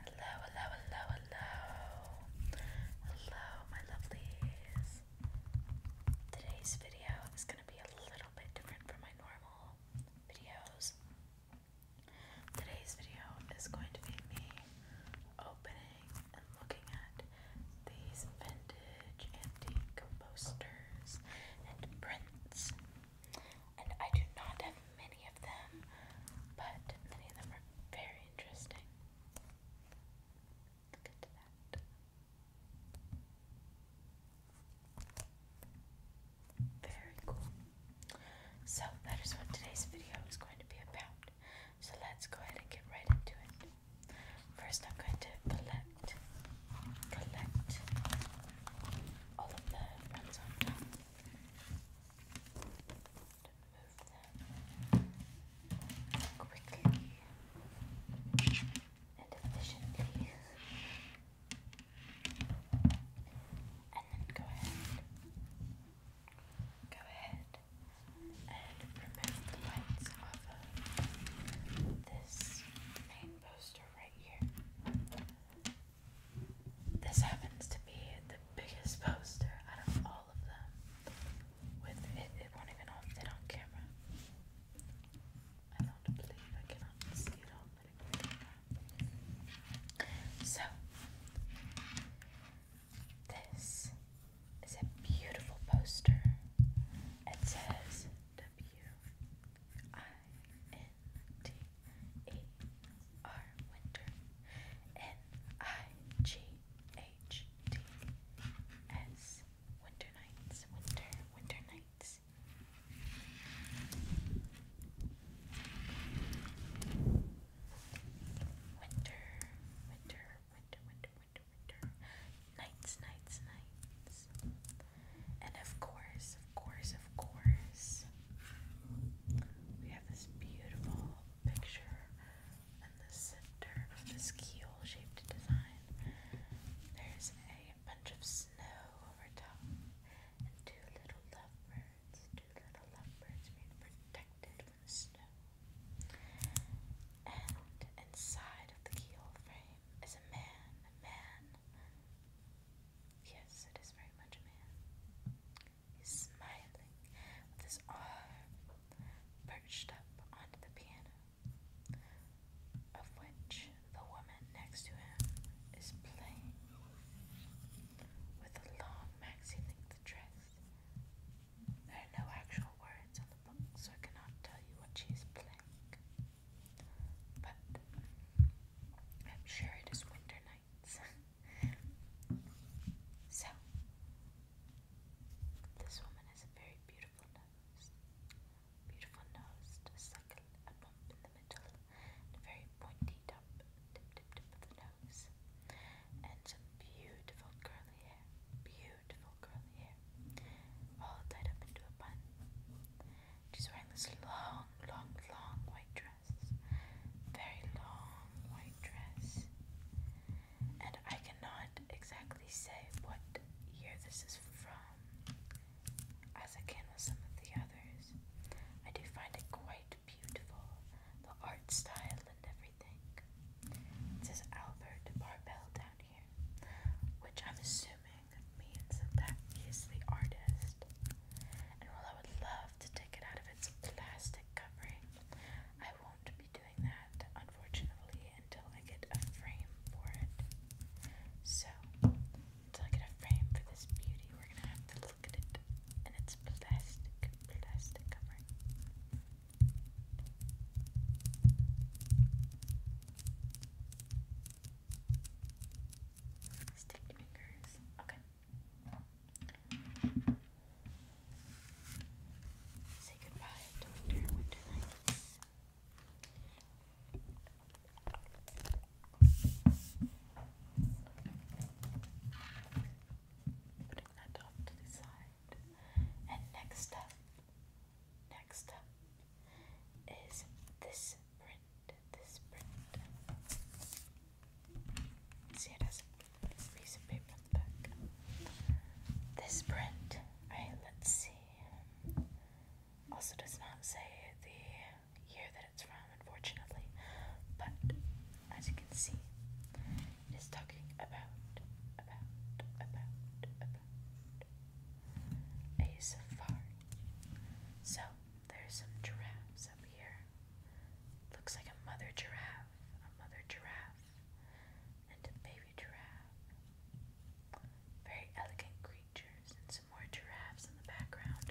Hello, hello, hello, hello. Hello, my lovelies. Today's video is going to be a little bit different from my normal videos. Today's video is going to be me opening and looking at these vintage antique posters and prints and I do not have many of them, but many of them are very interesting. Look into that. Very cool. So that is what today's video is going to be about. So let's go ahead and get right into it. First, I'm going to collect, collect all of the runs on top them quickly and efficiently. And then go ahead, go ahead and remove the lights off of this main poster right here. This happens to be the biggest poster out of all of them. With it, it won't even hold on camera. I do believe I cannot see it on the camera. So, this is a beautiful poster. It says W I N T E R winter N I G H T S winter nights winter winter nights winter winter winter winter winter winter nights nights nights and of course of course, of course, we have this beautiful picture in the center of this keel shaped design. There's a bunch of snow over top and two little lovebirds. Two little lovebirds protected from the snow. And inside of the keel frame is a man, a man. Yes, it is very much a man. He's smiling with his arm perched up onto the piano, of which the woman next to him is playing with a long maxi length dress. There are no actual words on the book, so I cannot tell you what she is playing. But I'm sure it is winter night. so, this woman has a very beautiful nose. Beautiful nose to a bump in the middle, a very pointy tip, tip, tip of the nose, and some beautiful curly hair. Beautiful curly hair, all tied up into a bun. She's wearing this long, long, long white dress very long white dress. And I cannot exactly say what year this is from, as I can with some of the others. I do find it quite beautiful, the art style and everything. It says Albert Barbell down here, which I'm assuming means that he is the artist. And while I would love to take it out of its plastic covering. I won't be doing that, unfortunately, until I get a frame for it. So, until I get a frame for this beauty, we're gonna have to look at it in its plastic, plastic covering. Sticky fingers. Okay. Say goodbye to Putting that off to the side. And next up, next up is this print this print. See, it has a piece of paper on the back. This print, alright, let's see. Also does not say the year that it's from, unfortunately, but as you can see, it is talking about, about, about, about a safari. So there's some giraffes up here. Looks like a mother giraffe, a mother giraffe, and a baby giraffe. Very elegant creatures, and some more giraffes in the background.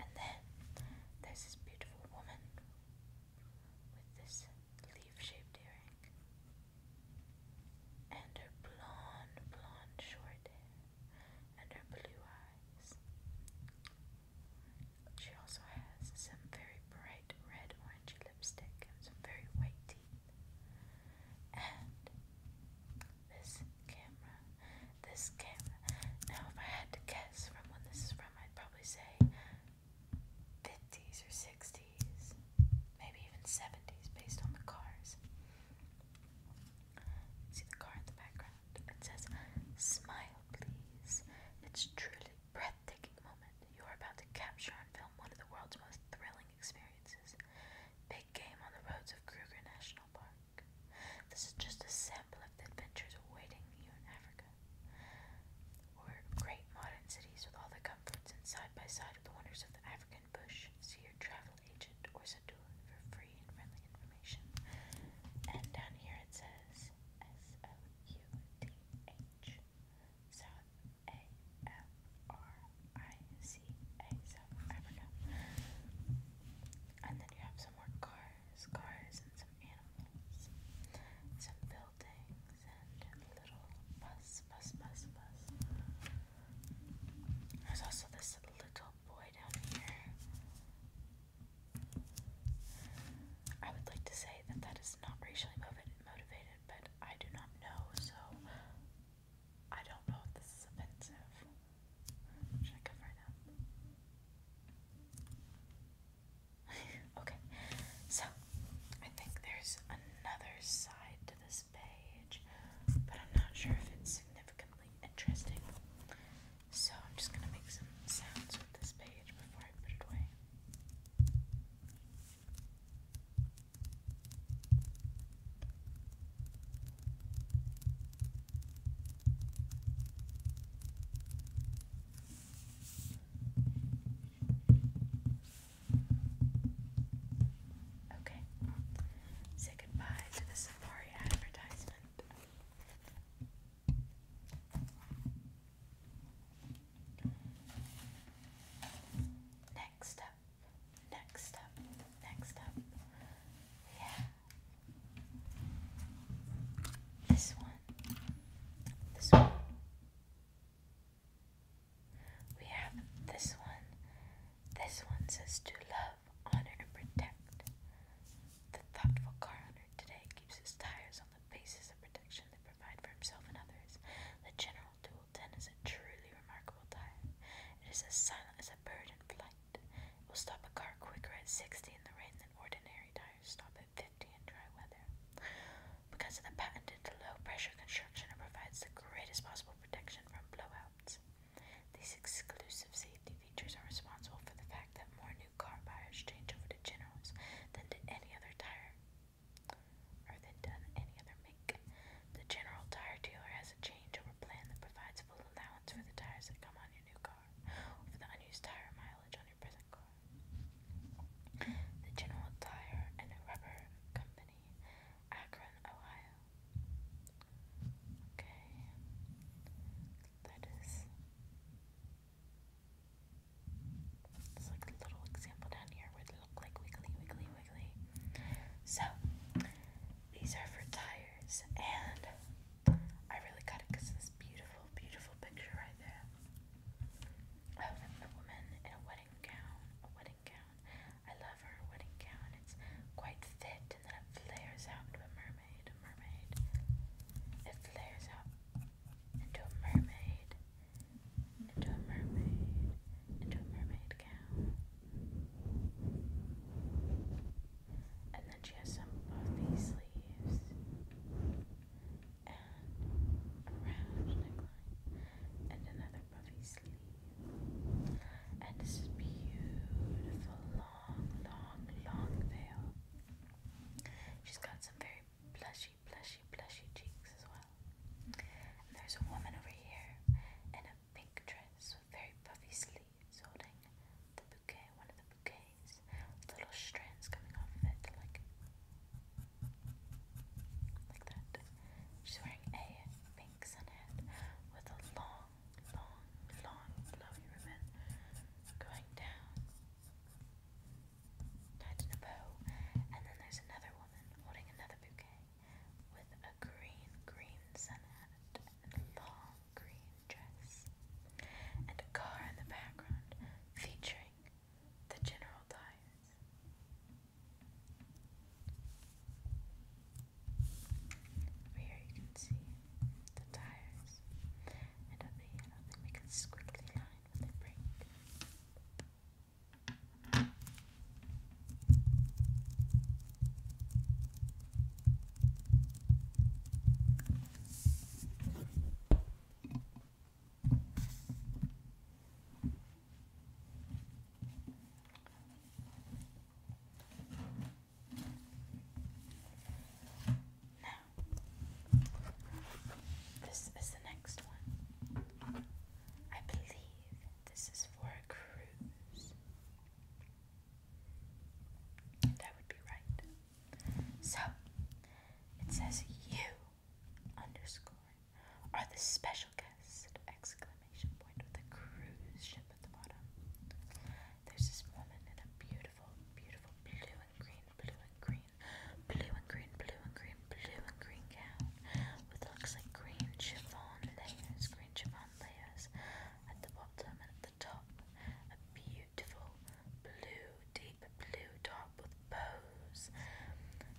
And then there's this beautiful woman with this leaf shaped earring and her blonde, blonde, short hair and her blue eyes. She also has some very bright red orangey lipstick and some very white teeth. And this camera, this camera. Now, if I had to guess from when this is from, I'd probably say 50s or 60s, maybe even 70s, based on the cars. See the car in the background. It says, Smile, please. It's truly breathtaking moment. You are about to capture on film one of the world's most thrilling experiences. Big game on the roads of Kruger National Park. This is just a sample of the adventures awaiting you in Africa. we great modern cities with all the comforts and side by side with the wonders of the African bush. See your travel agent or Sadoon for free and friendly information. And down here it says S O U D H South A F R I C A And then you have some more cars, cars and some animals, some buildings and little bus, bus, bus, bus. There's also this little boy I would like to say that that is not racially motivated, but I do not know, so I don't know if this is offensive. okay, so I think there's another side to this page, but I'm not sure if it's significantly interesting. So I'm just going to make some sounds with this page before I put it away. Okay. Say goodbye to the Safari advertisement. Next up, next up, next up. Yeah. This one. This one. We have this one. This one says to love love, honor, and protect. The thoughtful car owner today keeps his tires on the basis of protection that provide for himself and others. The General Dual 10 is a truly remarkable tire. It is as silent as a bird in flight. It will stop a car quicker at 60 in the rain than ordinary tires stop at 50 in dry weather. Because of the patented low pressure construction, it provides the greatest possible protection from blowouts. These exclusive safety features are responsible for the fact that more new car buyers change over to Generals than to any other tire, or than done any other make. The General Tire Dealer has a changeover plan that provides full allowance for the tires that come on your new car, or for the unused tire mileage on your present car. The General Tire and Rubber Company, Akron, Ohio, Okay, that is. It's little example down here where look like wiggly, wiggly, wiggly. So, these are for tires, and I really got it because this beautiful, beautiful picture right there of a woman in a wedding gown. A wedding gown. I love her wedding gown. It's quite fit, and then it flares out mermaid, a mermaid. It flares up into a mermaid, into a mermaid, into a mermaid gown. And then she has some puffy sleeves and a round neckline and another puffy sleeve. And this is beautiful long, long, long veil. She's got some very plushy, plushy, plushy cheeks as well. And there's a woman over here in a pink dress with very puffy sleeves holding the bouquet, one of the bouquets, little strands coming off of it, like, like that. She's wearing a pink sunhead with a long long, long, long, ribbon going down. Tied in a bow. And then there's another woman holding another bouquet with a green, green sun and a long green dress. And a car in the background featuring the general tires. Over here you can see the tires. And over here, I think we can squiggly line with the brake. Now, this is the next one. I believe this is for a cruise. That would be right. So, it says you underscore are the special guest exclamation point with a cruise ship up at the bottom. There's this woman in a beautiful, beautiful blue and green, blue and green, blue and green, blue and green, blue and green gown with looks like green chiffon layers, green chiffon layers at the bottom and at the top. A beautiful blue, deep blue top with bows.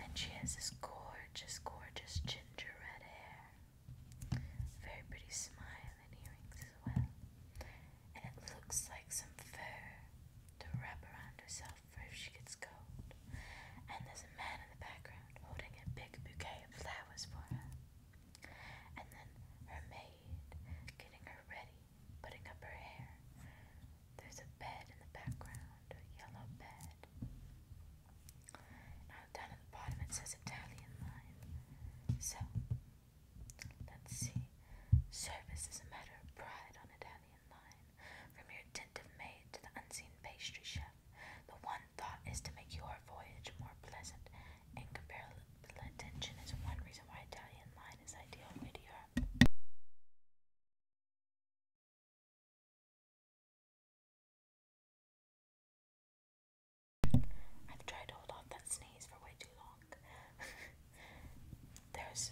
And she has this gorgeous, gorgeous ginger red hair. Very pretty smile and earrings as well. And it looks like some fur to wrap around herself for if she gets cold. And there's a man in the background holding a big bouquet of flowers for her. And then her maid getting her ready, putting up her hair. There's a bed in the background, a yellow bed. Now down at the bottom it says Italian line. So Let's see. Service is a matter of pride on Italian line. From your attentive maid to the unseen pastry chef, the one thought is to make your voyage more pleasant. And Incomparable attention is one reason why Italian line is ideal way to Europe. I've tried to hold off that sneeze for way too long. There's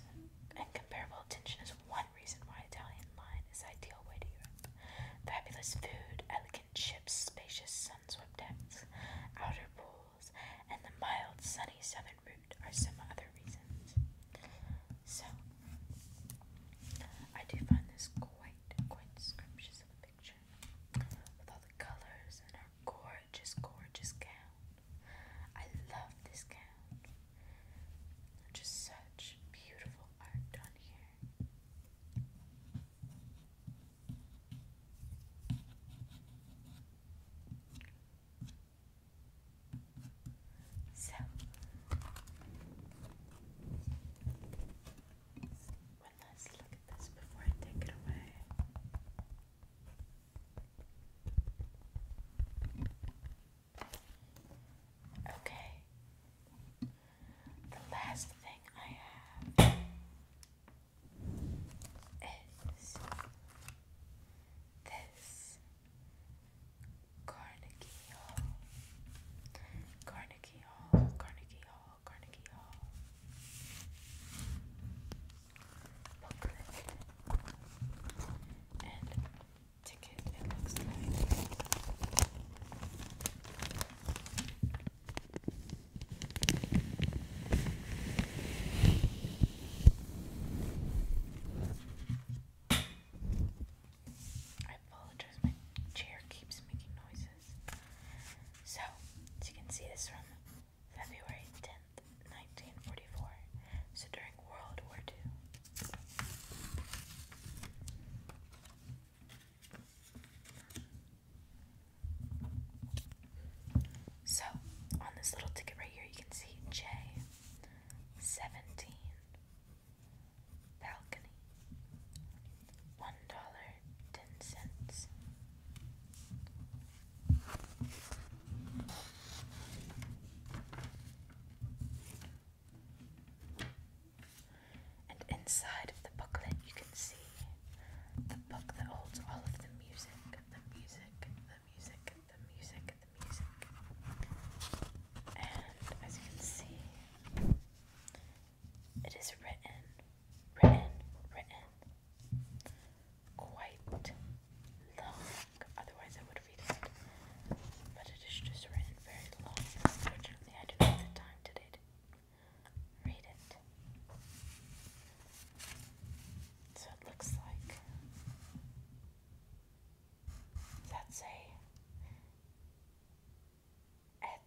incomparable attention is one reason why Italian line is ideal way to Europe. Fabulous food, elegant ships, spacious sun-swept decks, outer pools, and the mild, sunny southern route are some other reasons. So, I do find this quite, quite scrumptious with all the colors and her gorgeous, gorgeous gown. I love this gown. Just such beautiful art done here. So, one last look at this before I take it away. Okay. The last thing I have is this Carnegie Hall. Carnegie Hall, Carnegie Hall. Hall, Carnegie Hall. Booklet. I apologize, my chair keeps making noises. So, as you can see, this from February 10th, 1944. So, during World War II. So, on this little ticket right here, you can see J17 Balcony. $1.99 ten cents. And inside of the booklet, you can see the book that holds all of the music, the music, the music, the music, the music. And as you can see, it is written, written, written quite long. Otherwise, I would read it. But it is just written very long. Unfortunately, I do not have the time today to read it. So it looks like that's a. Et,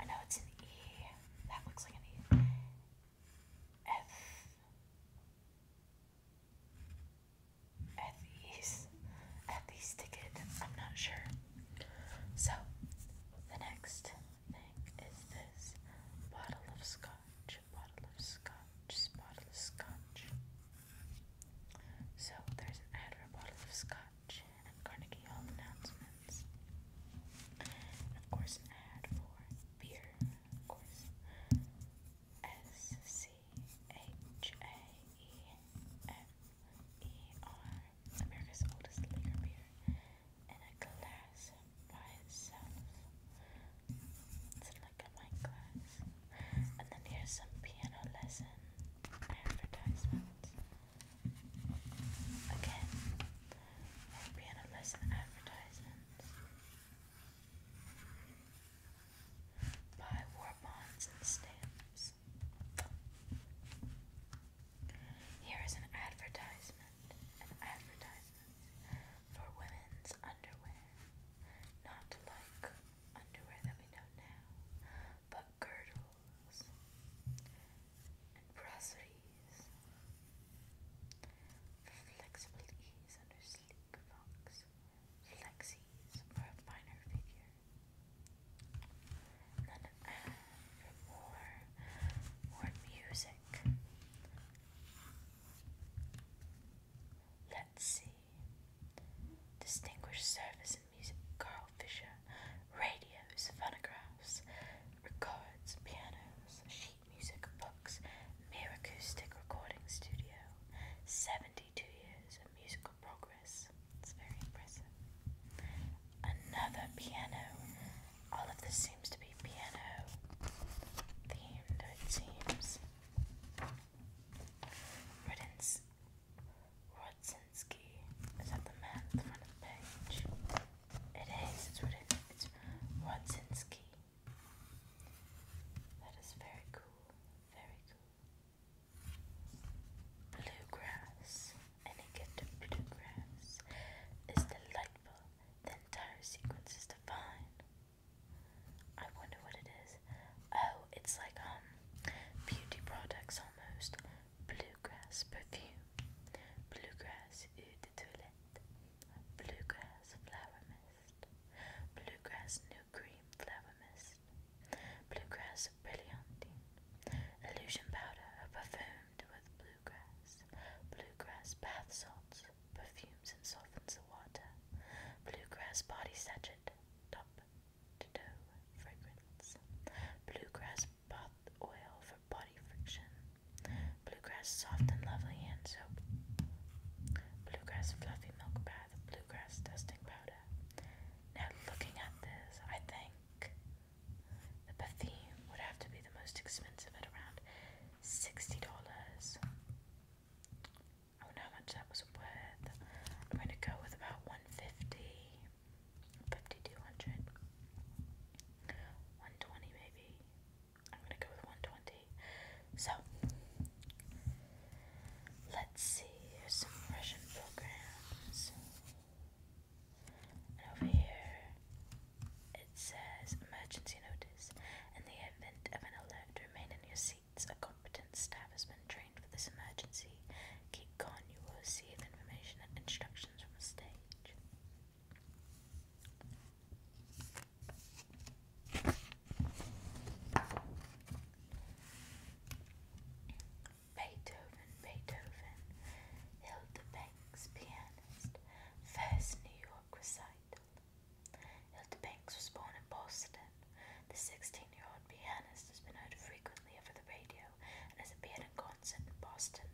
I know it's an E. That looks like an E. F. At I'm not sure. So, the next thing is this bottle of scotch, bottle of scotch, bottle of scotch. So, there's an ad bottle of scotch. Watch and Carnegie Hall announcements. of course, an ad for beer, of America's oldest liquor beer, in a glass by itself. It's in like a wine glass. And then here's some piano lesson advertisements. Again, there'll be an advertisements by war bonds and stamps. Here is an advertisement, an advertisement for women's underwear. Not like underwear that we know now, but girdle brasseries flexible ease under sleek fox, flexies for a finer figure, and for more, more music. Let's see. Distinguished services Music, Carl Fischer. radios, phonographs, records, pianos, sheet music, books, Mere Acoustic Recording Studio, 72 years of musical progress. It's very impressive. Another piano. All of this seems to be piano themed, it seems. Riddance Rodzinski. Is that the man at the front of the page? It is. It's written. It's Rodzinski. That is very cool. Very cool. Bluegrass. Any good to bluegrass is delightful. The entire sequence is divine. I wonder what it is. Oh, it's like um beauty products almost bluegrass perfume, bluegrass eau de toilette, bluegrass flower mist, bluegrass new cream flower mist, bluegrass brilliant, illusion powder perfumed with bluegrass, bluegrass bath salts, perfumes and softens the water, bluegrass body sachet, top dough fragrance. Bluegrass bath oil for body friction. Bluegrass soft and lovely hand soap. Bluegrass fluffy milk bath. Bluegrass dusting powder. Now looking at this, I think the bath Bethune would have to be the most expensive at around $60. I how much that was worth. I'm going to go with about 150 5200 maybe I'm gonna go with 120 so let's see here's some Russian programs and over here it says emergency notice in the event of an alert remain in your seats a competent staff has been trained for this emergency. Keep going. you will receive information and instructions from the stage. Beethoven, Beethoven, Hilda pianist, first New York recital. Hilda was born in Boston. The 16 year old pianist has been heard frequently over the radio and has appeared in concert in Boston.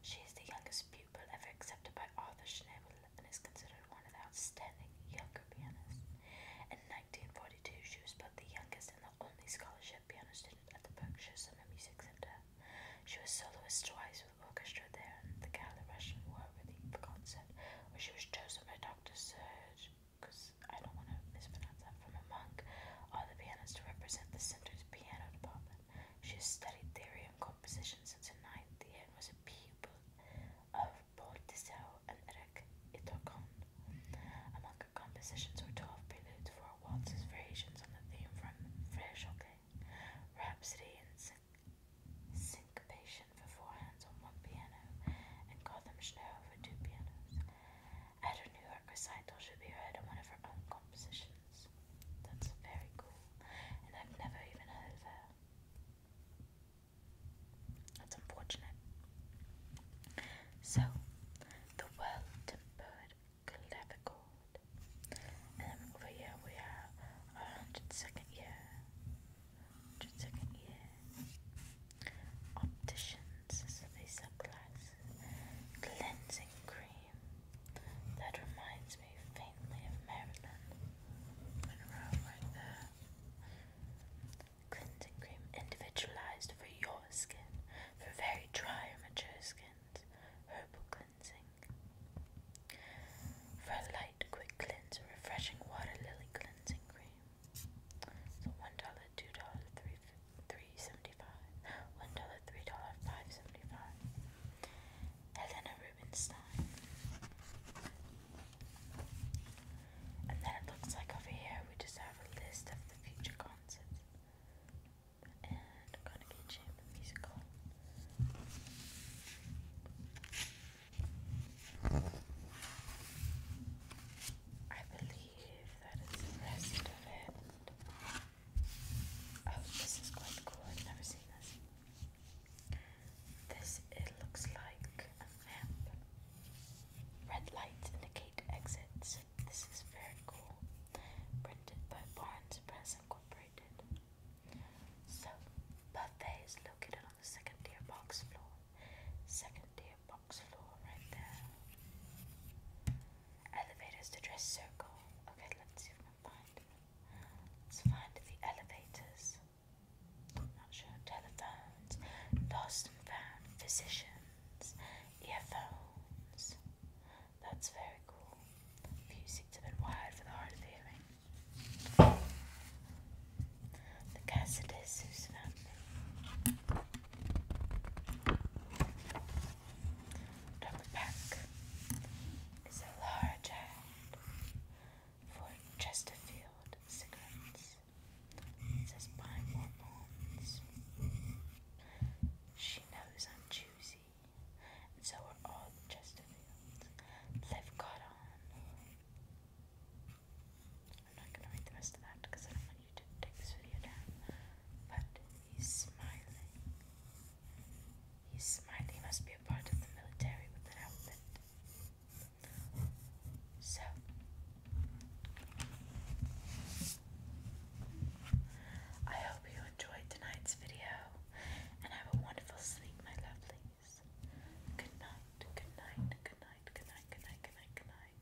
She is the youngest pupil ever accepted by Arthur Schnabel and is considered one of the outstanding younger pianists. In 1942, she was both the youngest and the only scholarship piano student at the Berkshire Summer Music Center. She was soloist twice with orchestra there and the Gallo Russian War Relief Concert, where she was chosen by Dr. Serge because I don't want to mispronounce that, from a monk or the pianist to represent the center's piano department. She has studied theory and composition since her ninth year and was a pupil of Paul Tissot and Eric Itokon. Among her compositions were 12 preludes, for waltzes, variations on the theme from Vershocke, Rhapsody and Syn Syncopation for four hands on one piano, and Gotham Snow for two pianos. At her New York recital, she'll be read in one of her own compositions. That's very cool, and I've never even heard of her. That's unfortunate. So, the well-tempered clavichord. And then over here we have our 102nd year. 102nd year. Opticians is Cleansing cream. That reminds me faintly of Marilyn Monroe right there. Cleansing cream individualized for your skin, for very dry or mature skins. Herbal cleansing. For a light, quick cleanse, refreshing water lily cleansing cream. So one dollar, two dollar, three three seventy five, one dollar, three dollar, five seventy five. Helena Rubinstein. And then it looks like over here we just have a list of the future concerts. And Carnegie Chamber Musical. I believe believe that is the rest of it. Oh, this is quite cool. I've never seen this. This, it looks like a map. Red lights indicate exits. This is very cool. Printed by Barnes Press Incorporated. So, buffets located on the second tier box floor. Second tier box floor right there. Elevators to dress circle. Okay, let's see if we can find it. Let's find the elevators. Not sure. Telephones. Lost and found. Physicians. Earphones. That's very cool. Few seats have been wired for the hard of hearing. The Cassidus, who's family. From the is a for Chesterfield cigarettes. It says more bonds. She knows I'm juicy, and so are all the Chesterfields. They've got on. I'm not gonna read the rest of that because I don't want you take this video down. But he's smiling. He's smiling. He must be a part of the military with that outfit. So I hope you enjoyed tonight's video and have a wonderful sleep, my lovelies. Good night, good night, good night, good night, good night, good night, good night.